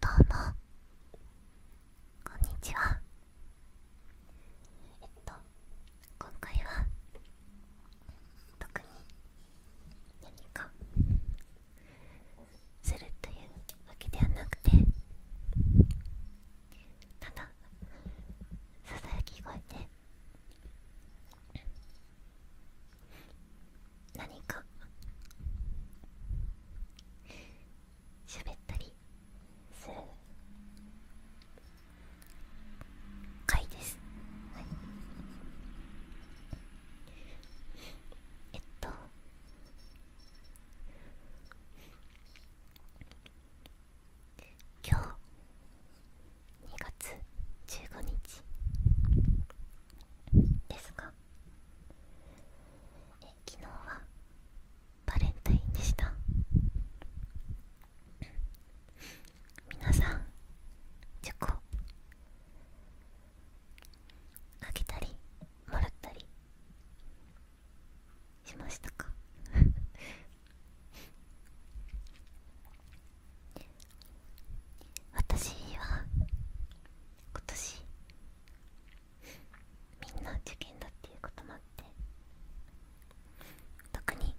どうもこんにちはえっと今回は特に何かするというわけではなくてただささやき声で何か喋ったりする回です、えっと今日2月15日ですか。え昨日はバレンタインでした皆さんチョコあげたりもらったりしましたか私は今年みんな受験だっていうこともあって特に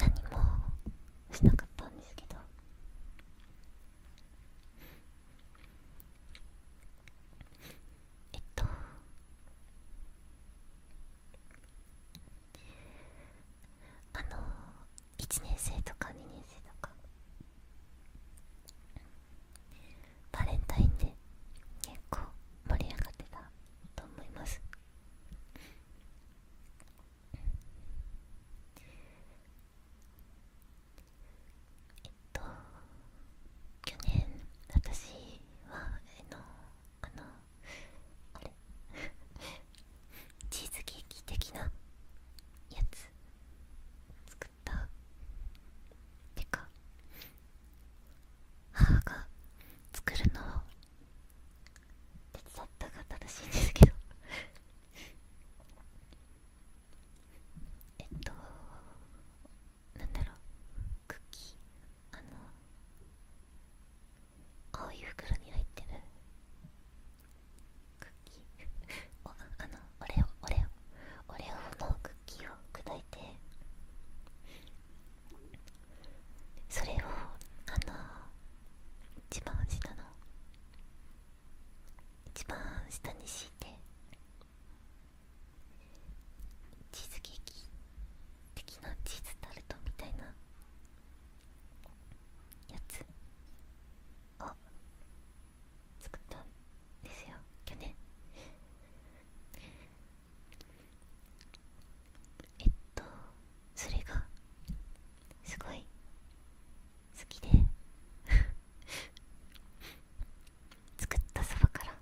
何もしなかったんですけどえっとあの1年生とか2年生とかバレンタインで結構盛り上がってたと思いますえっと去年私はえのあのあれチーズケーキ的なやつ作ったてか母が作るのを手伝ったが正しいんですけど えっとなんだろうクッキーあのこういう袋に入ってるクッキー おあのオレオオレオのクッキーを砕いてそれをあの一番下の一番下に敷いてチーズケーキ的なチーズタルトみたいなやつを作ったんですよ去年えっとそれがすごい好きで 作ったそばから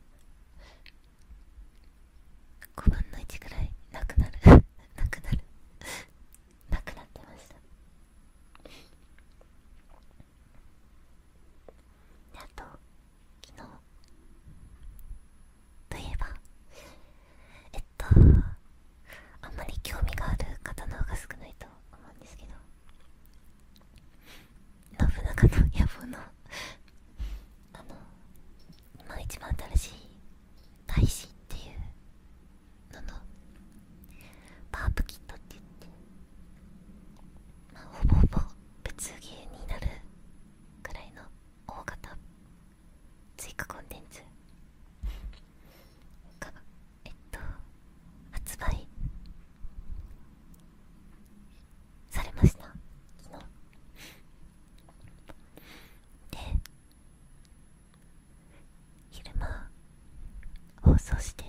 5分の1くらいなくなる なくなるなくなってましたであと昨日といえばえっとあんまり興味がある方の方が少ないと思うんですけど信長の野望のあの今一番新しい大使っていうののパープキットって言って、まあ、ほぼほぼ物芸になるくらいの大型追加コンテンツがえっと発売されました昨日で昼間放送して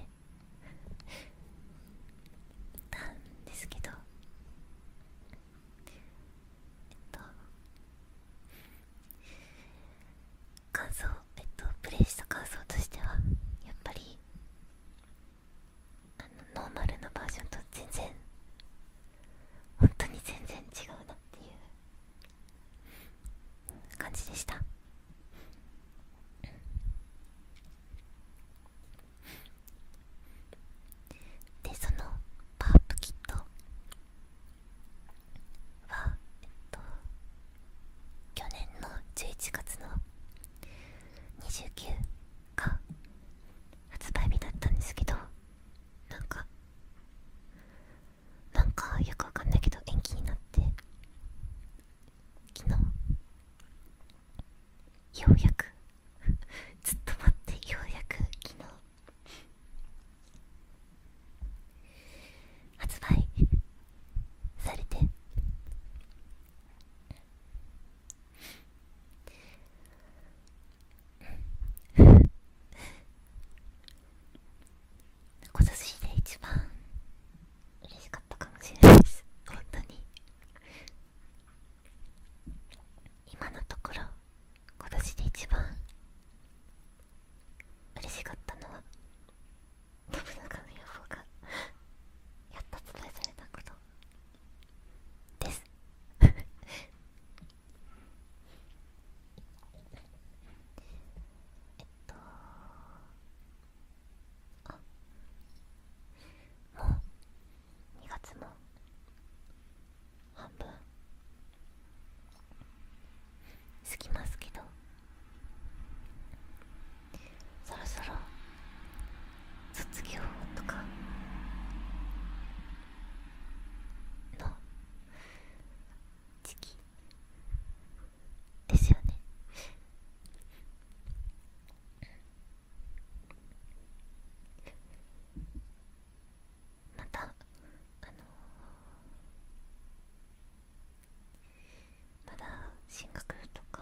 たんですけどえっと感想えっとプレイした感想としてはやっぱりあのノーマルのバージョンと全然本当に全然違うなっていう感じでしたでそのパープキットはえっと去年の11月の29日が発売日だったんですけどなんかなんかよくわかんないけど延期になって昨日ようやく ずっと待ってようやく昨日発売されて。今年で一番嬉しかったかもしれないです本当に今のところ今年で一番嬉しかったのは信長の予報がやっと伝えされたことですえっとあもう2月も半分過ぎますけどそろそろ卒業とかの時期ですよねまたあのまだ進学とか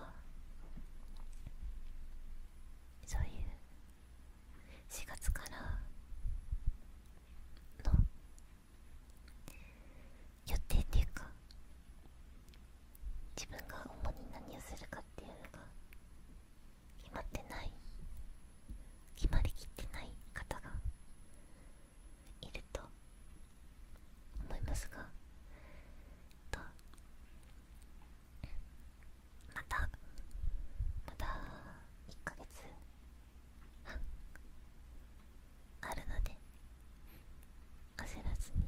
そういう4月からの予定っていうか自分が主に何をするかっていうのが決まってない決まりきってない方がいると思いますがとまたまた1ヶ月あるので焦らずに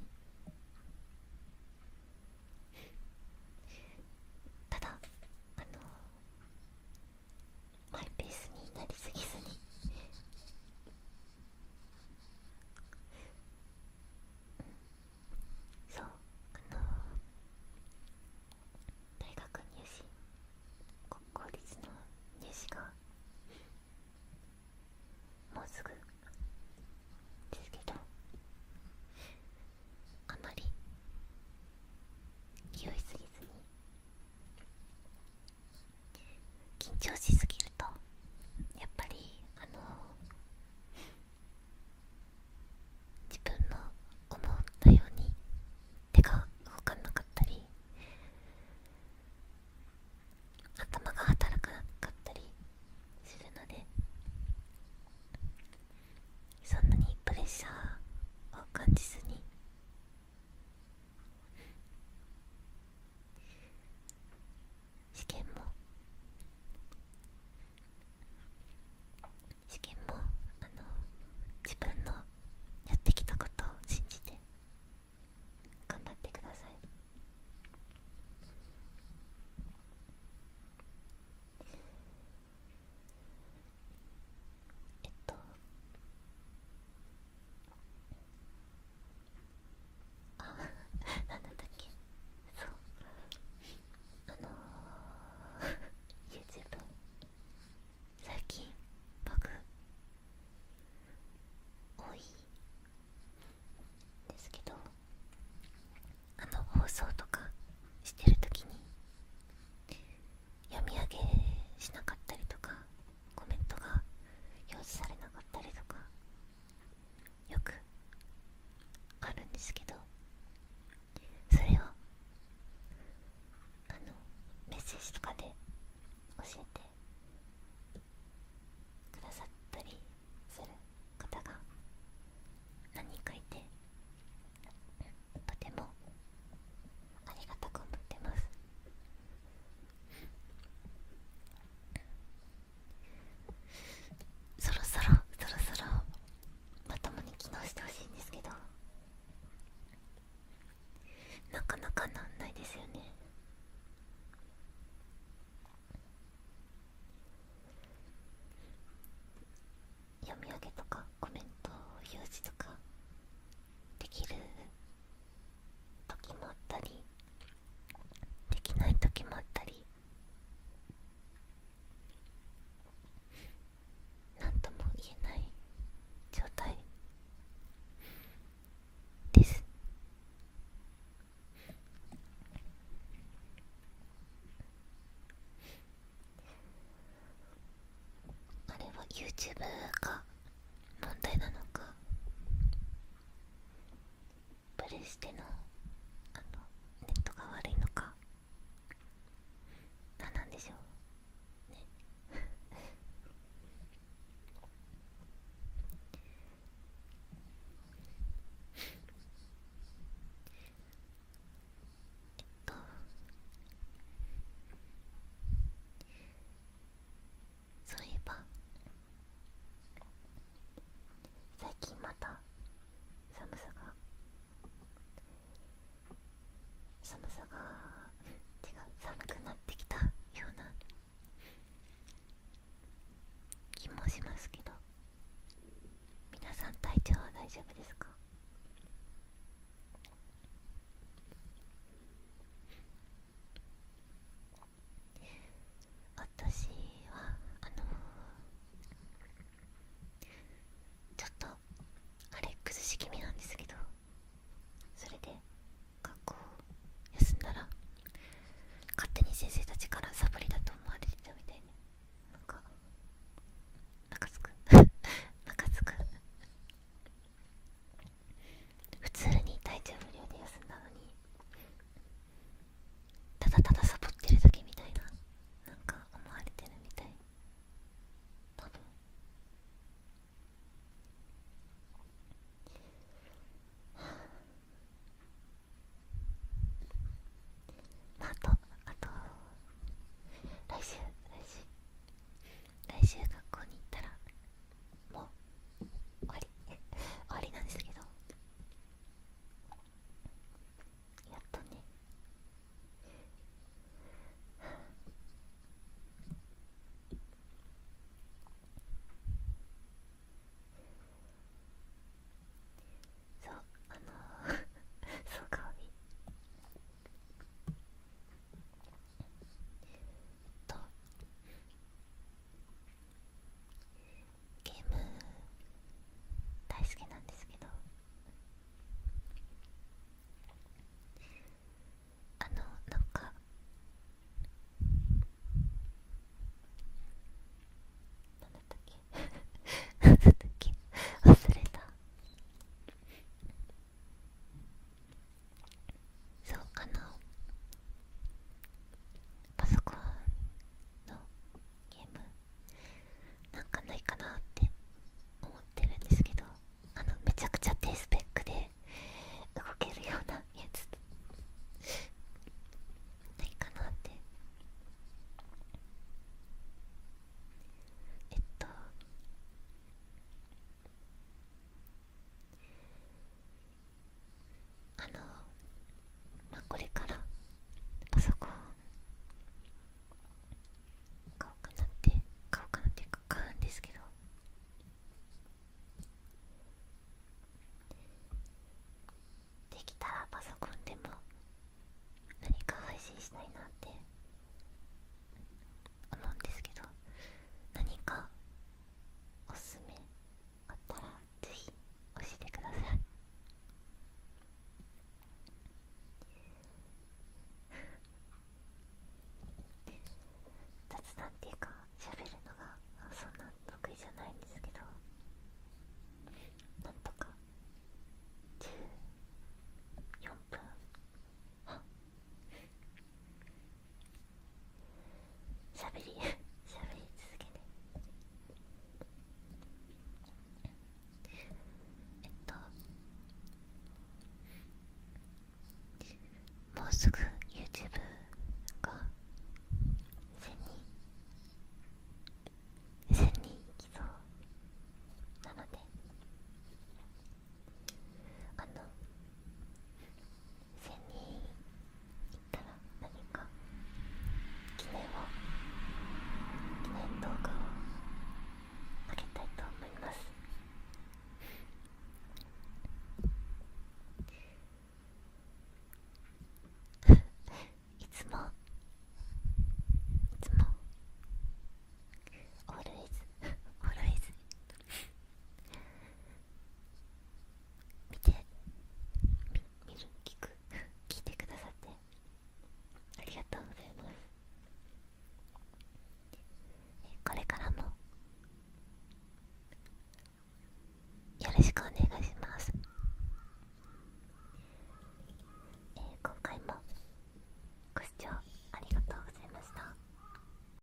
ただあのマイペースになりすぎずにうんそうあの大学入試国公立の入試がもうすぐですけどあまり気負いすぎずに緊張しすぎるとやっぱりあの自分の思ったように手が動かなかったり頭が働かなかったりするのでそんなにプレッシャーを感じずに試験も試験もあの自分のやってきたことを信じて頑張ってくださいえっとあ何だったっけそうあのー、YouTube 最近バグ多いですけどあの放送とかしてるときに読み上げしなかったりとかコメントが表示されなかったりとかよくあるんですけどそれをあのメッセージとかで教えてくださったりする方が何人かいてとてもありがたく思ってますそろそろそろそろまともに機能してほしいんですけどなかなかなんないですよね読み上げとかコメント表示とかできる時もあったりできない時もあったり何とも言えない状態ですあれは YouTube が問題なのかプレステののネットが悪いのか何なんでしょうねえっとそういえば最近また寒さが寒さが違う寒くなってきたような気もしますけど皆さん体調は大丈夫ですか私はあのちょっとあれ崩し気味なんですけどそれで学校休んだら勝手に先生たちからサボリだと思われてたみたいになんか中つくん中津く普通に体調不良で休んだのにただただサボってるだけみたいななんか思われてるみたい多分まああとあと来週来週来週学校に行ったらもう終わり終りなんですけどやっとねそうあの そうかおりとゲーム大好きなんですけどあのなんか何だったっけ何 だったっけ忘れたそうかなパソコンのゲームなんかないかなって思ってるんですけどあのめちゃくちゃ低スペックで動けるようなやつないかなってえっとあのまあこれからパソコン買おうかなって買おうかなって買うんですけどできたらパソコンでも何か配信したいなって思うんですけど何かおすすめあったらぜひ教えてください雑談っていうか喋るのがそんな得意じゃないんですけどなんとか14分あしゃべりしゃべり続けてえっともうすぐ YouTube が1000人1000人いきそうなのであの一に行ったら何か記念を記念動画をあげたいと思いますいつもいつもオールイズオールイズ見て見る聞く聞いてくださってありがとうございますこれからもよろしくお願いします、え今回もご視聴ありがとうございました